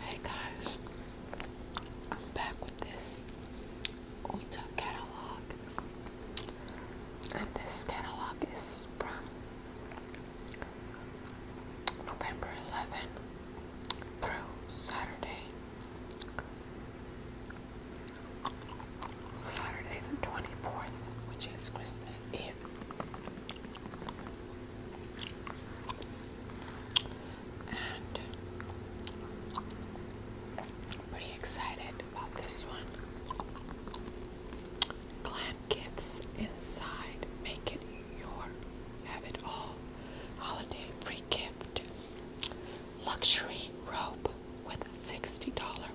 Hey guys, I'm back with this Ulta catalog, and this catalog is from November 11 through Saturday, Saturday the 24th, which is Christmas Eve. And pretty excited about this one. Glam Kids Inside. Make it your have it all. Holiday free gift. Luxury robe with $60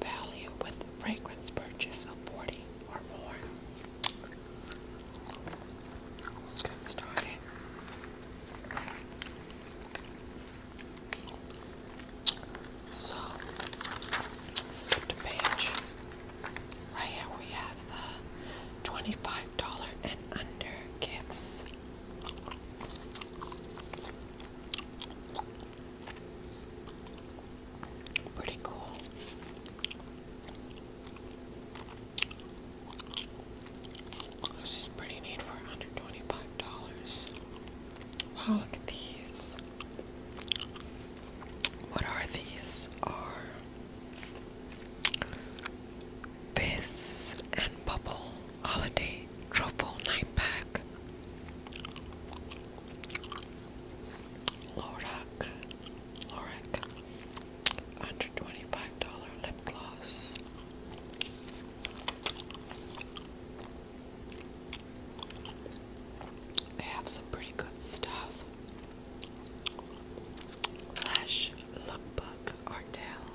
value with fragrance purchase of 40 or more. Let's get started. So, flip the page. Right here we have the $25 and under gifts. Pretty cool. This is pretty neat for $125. Wow, look at these. What are these? Are this and bubble holiday truffle night pack? Lorak Lorac $125 lip gloss. They have some pretty good stuff. Lash Lookbook Ardell.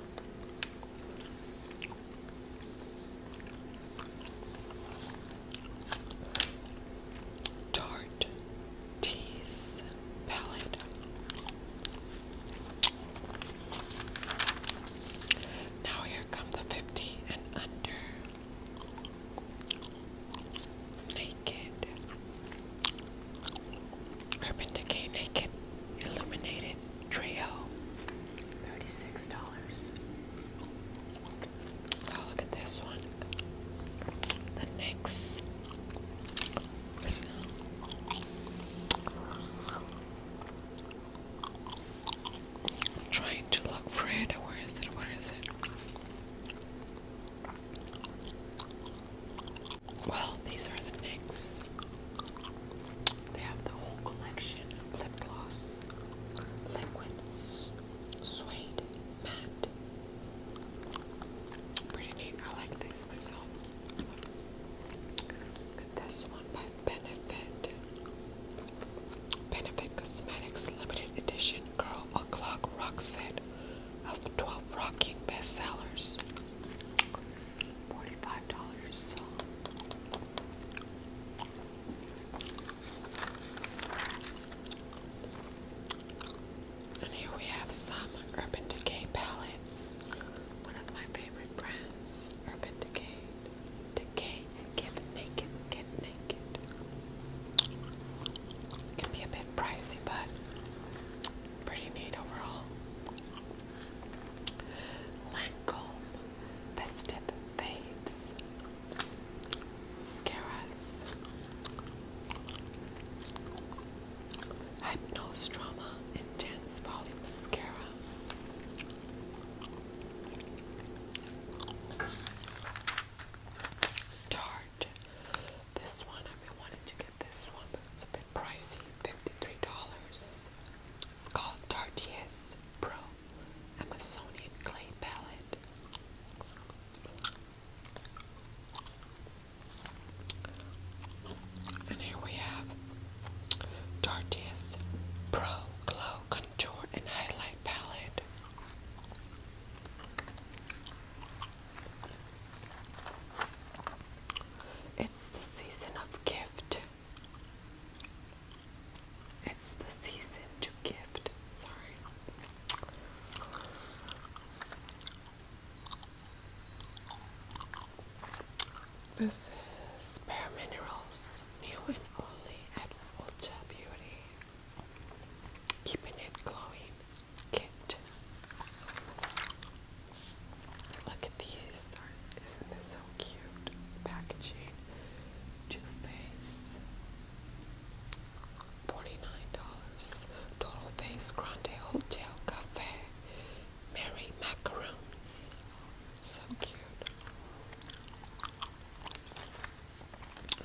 Tarte Tease palette. Now here come the 50 and under. Naked. Urban Decay Naked Illuminated Trio. $36. Oh, look at this one. The NYX trying to look for it. Where is it? Where is it? Well, these are the NYX. They have the whole collection lip gloss, liquids, suede, matte, Pretty neat. I like this myself. This one by Benefit. Benefit Cosmetics Limited Edition Girl O'Clock Rock Set of 12 Rocking Bestsellers. $45. And here we have some Urban Decay palettes. One of my favorite brands, Urban Decay. Decay get naked, get naked. Can be a bit pricey, but pretty neat overall. Lancome Festive Fades scare us. Hypnose Drama Intense Volume Mascara. Tarte. This one, I've been wanting to get this one, but it's a pricey $53. It's called Tartius Pro Amazonian Clay Palette. And here we have Dartius Pro Glow Contour and Highlight Palette. It's the season of gift. It's the season to gift. Sorry. This is Bare Minerals, new and only at Ulta Beauty. Keeping it glowing kit. Look at these. Isn't this so cute? Packaging, Too Faced. $49. Total Face Grande Hotel Cafe. Mary Macaroons. So cute.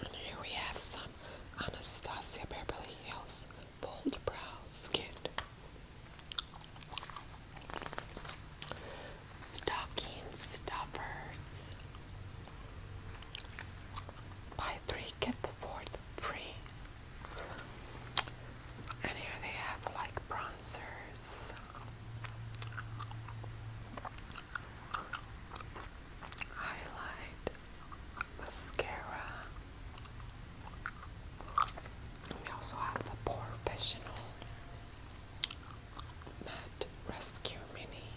And here we have some Anastasia Beverly Hills Bold Brows Kit. Stocking Stuffers. Buy three, get the fourth free. And here they have like bronzers. Highlight, mascara. we also have the professional matte rescue mini.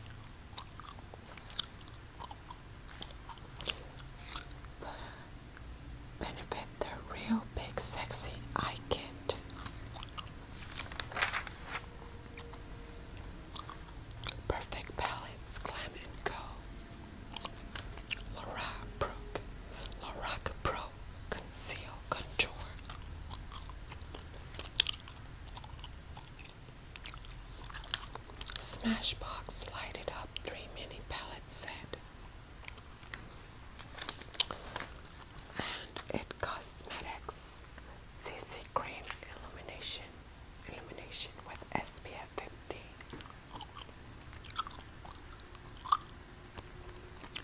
Benefit the real big sexy eye kit. Perfect Palettes Glam and Go. Laura Brooke. Laura Pro Conceal Contour. Smashbox lighted up three mini pellet set. And it cosmetics CC cream illumination illumination with SPF 50.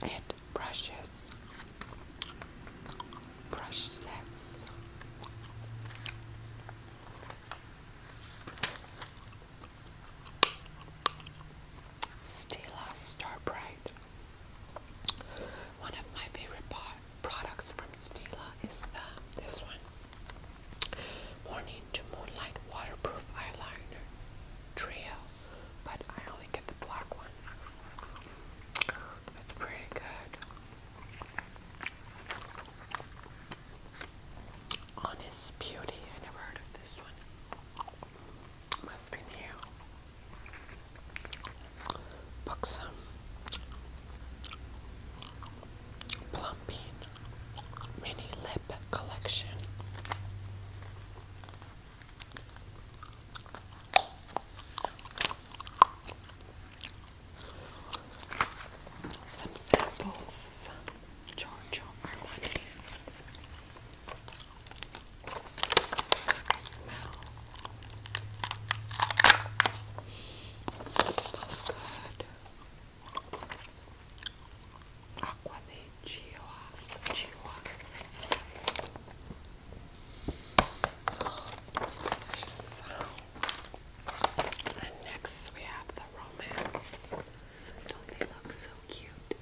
It brushes brush sets Stila Star Bright. One of my favorite products from Stila is the this one. Morning to Moonlight Waterproof Eyeliner Trio, but I only get the black one. It's pretty good. Honest Beauty. I never heard of this one. Must be new. Buxom. Plumping. Mini Lip Collection some samples. Giorgio It smells good. Acqua di Chiua. Chiua. Oh, it smells delicious. And next we have the romance. Don't they look so cute?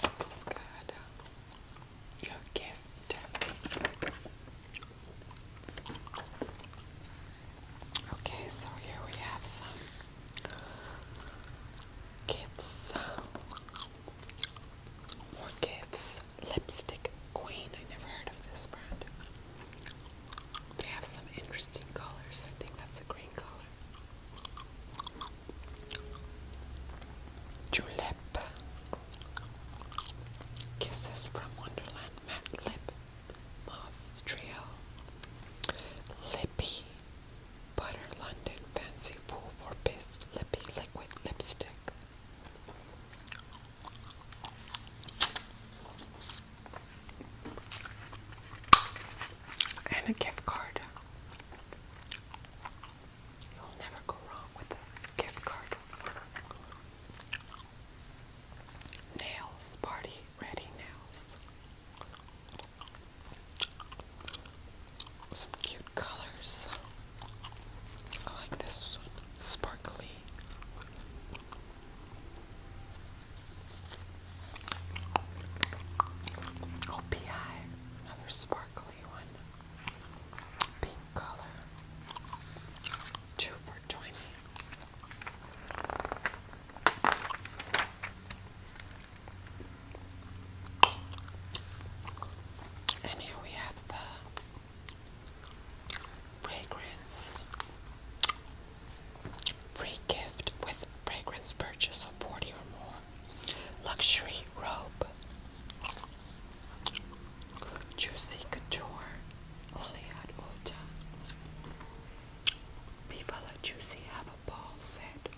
Smells good. Your gift. Okay, so here we have some gifts. Orchids Lipstick Queen. I never heard of this brand. They have some interesting colors. I think that's a green color. Julep. Kisses from Wonderland Matte Lip Moss Trio. Lippy Butter London Fancy Fool for Biz Lippy Liquid Lipstick. And a gift card. You'll never go wrong with a gift card. Nails, party ready nails. Some cute colors. I like this one, sparkly. Oh, another sparkly one. Pink color. Two for twenty. And here we have the Fragrance. Free gift with fragrance purchase of 40 or more. Luxury robe. Juicy couture. Only at Ulta. Viva la Juicy have a ball set.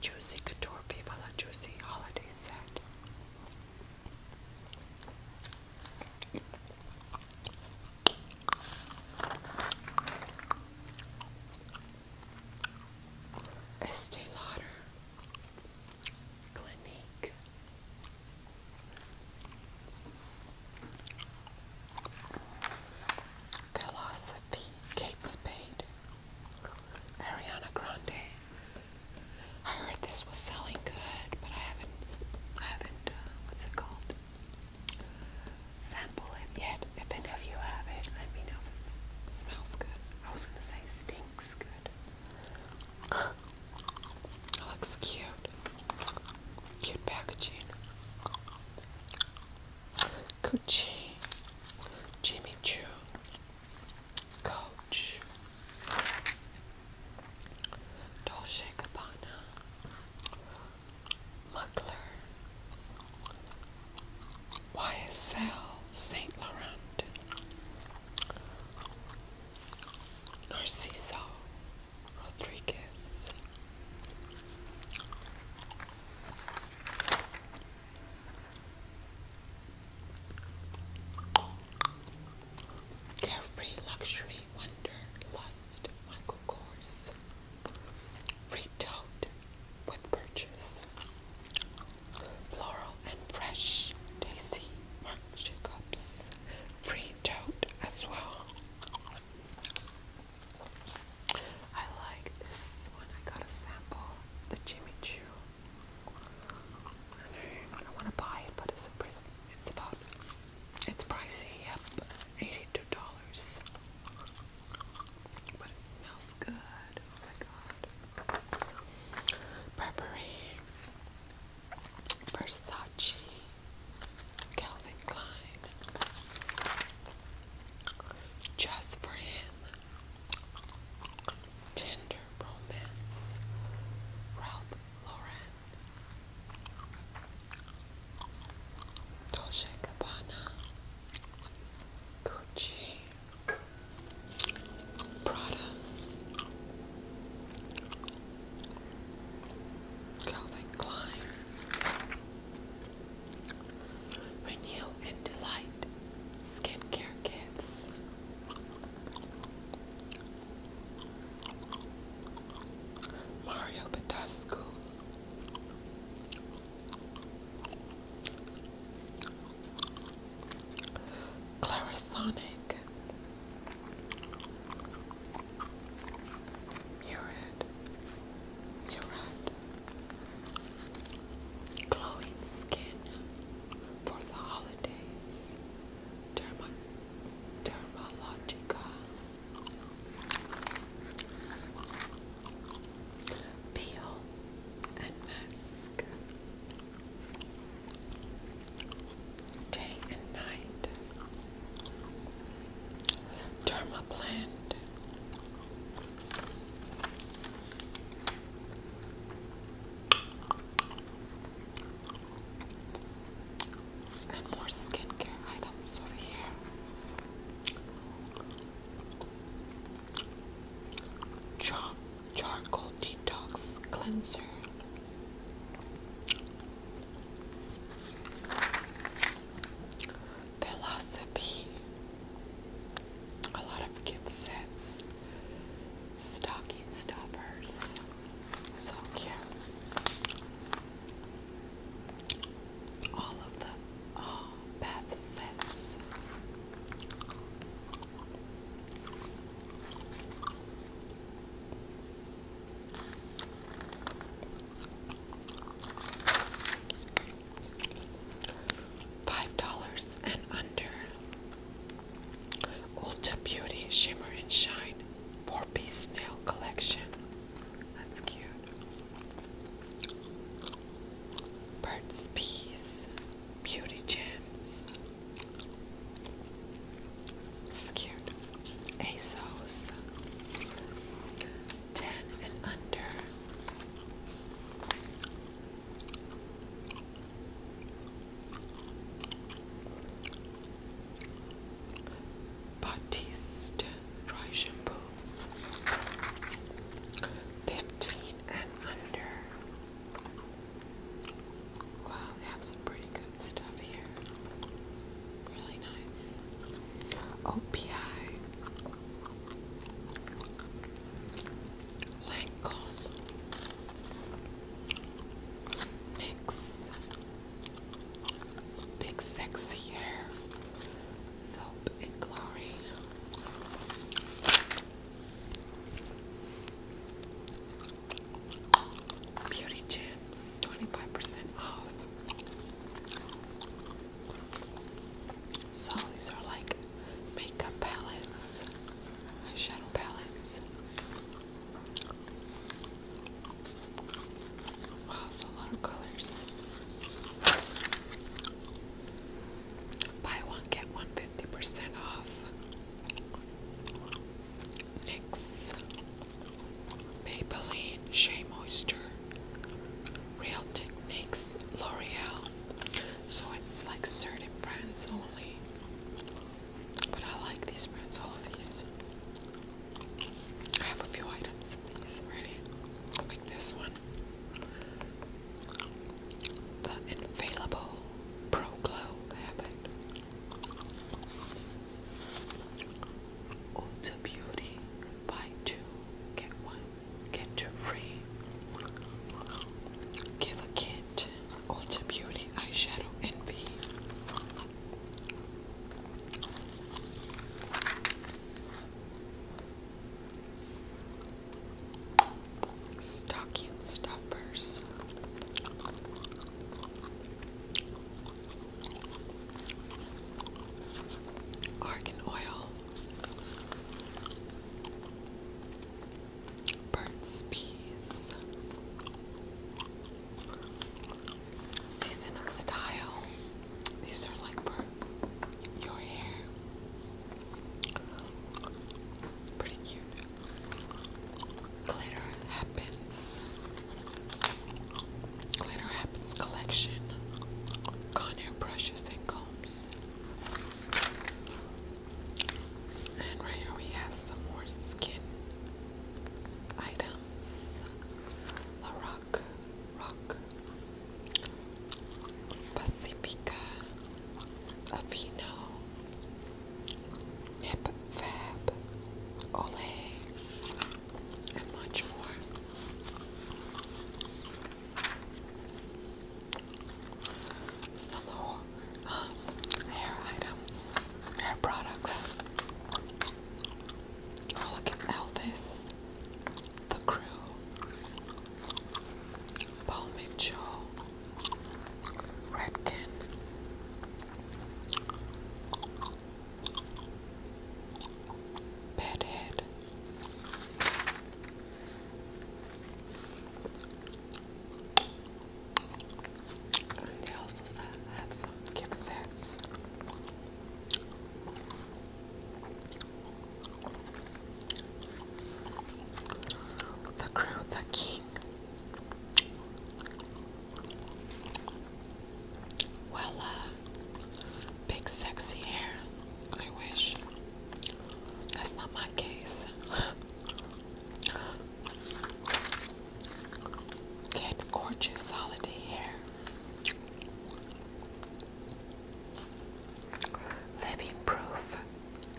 Juicy Couture Viva Juicy Holiday Set. Estee Lauder Clinique Philosophy Kate Spade Ariana Grande. I heard this was selling good, but I haven't, I haven't, uh, what's it called? Sample it yet. If any of you have it, let me know if it smells good. I was gonna say stinks good. It looks cute. Cute packaging. Gucci, Jimmy Choo, Coach Dolce Gabbana Muggler YSL Saint Laurent Narciso Rodriguez Carefree Luxury Wonder Lust Michael Kors. Free tote with purchase. Floral and Fresh Daisy Mark Jacobs. Free tote as well. I like this one. I got a sample. The Jimmy Choo I don't want to buy it, but it's about, it's pricey, yep, $82. But it smells good, oh my god. Burberry, Versace, Calvin Klein. Just for him. Tender Romance, Ralph Lauren, Dolce Gabbana, Gucci, Prada, Calvin Klein, Renew and Delight, and skincare kits. Mario Badescu. Clarisonic. Murid. Murid. Glowing skin for the holidays. Derma Dermalogica. Peel and mask. Day and night. Derma and more skincare items over here. Char charcoal detox cleanser. Philosophy. A lot of gift sets stocking stuffers. So cute. All of the oh, bath sets. Five dollars and under. Ulta Beauty Shimmer and Shine Four Piece Nail Collection. That's cute. Burt's Beauty Gems. It's cute. ASOS. Ten and under. Batiste dry shampoo, fifteen and under. Wow, they have some pretty good stuff here. Really nice. OPI. Lancome, NYX, Big Sexy Hair, Soap and Glory. Beauty Gems, 25% off. So these are like makeup palettes, eyeshadow palettes. Wow, it's a lot of colors. Buy one, get one fifty percent off. NYX Maybelline Shea Moisture Real Techniques L'Oreal so it's like certain brands only. But I like these brands, all of these. I have a few items of these already. Like this one. The Infallible Pro Glow. I have Beauty. Buy two, get one. Get to free. Give a kid Ulta Beauty Eyeshadow Envy. Stocking stuffers. Argan oil. Burt's Bees. Season of Style. These are like for your hair. It's pretty cute. Glitter Happens. Glitter Happens collection. Conair brushes and combs. And right here we have some more skin items. La Rock, Pacifica, Avino, Nip Fab, Olay, and much more some little uh, um, hair items, hair products. look at Elvis, The Crew, Paul Mitchell, Redkin. Bedhead, they also said I some gift sets. The crown, the king. Well, uh, big sexy hair. I wish. That's not my case. Get gorgeous holiday hair. Living proof.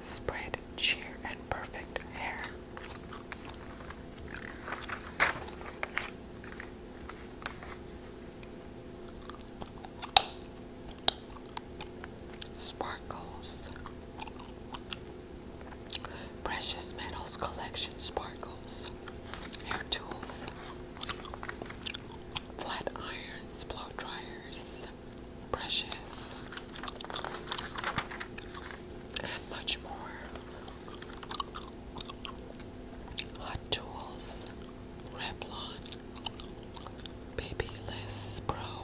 Spread cheer and perfect hair. Sparkles. Precious Metals Collection Sparkles. Hair tools. Flat irons, blow dryers, brushes, and much more. Hot tools, Revlon Baby Less Pro.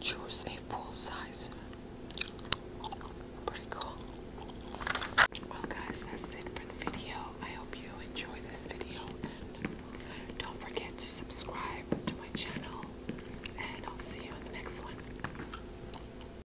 Choose a full size. Pretty cool. Well, guys, that's it for the video. I hope you enjoy this video. don't forget to subscribe to my channel. And I'll see you in the next one.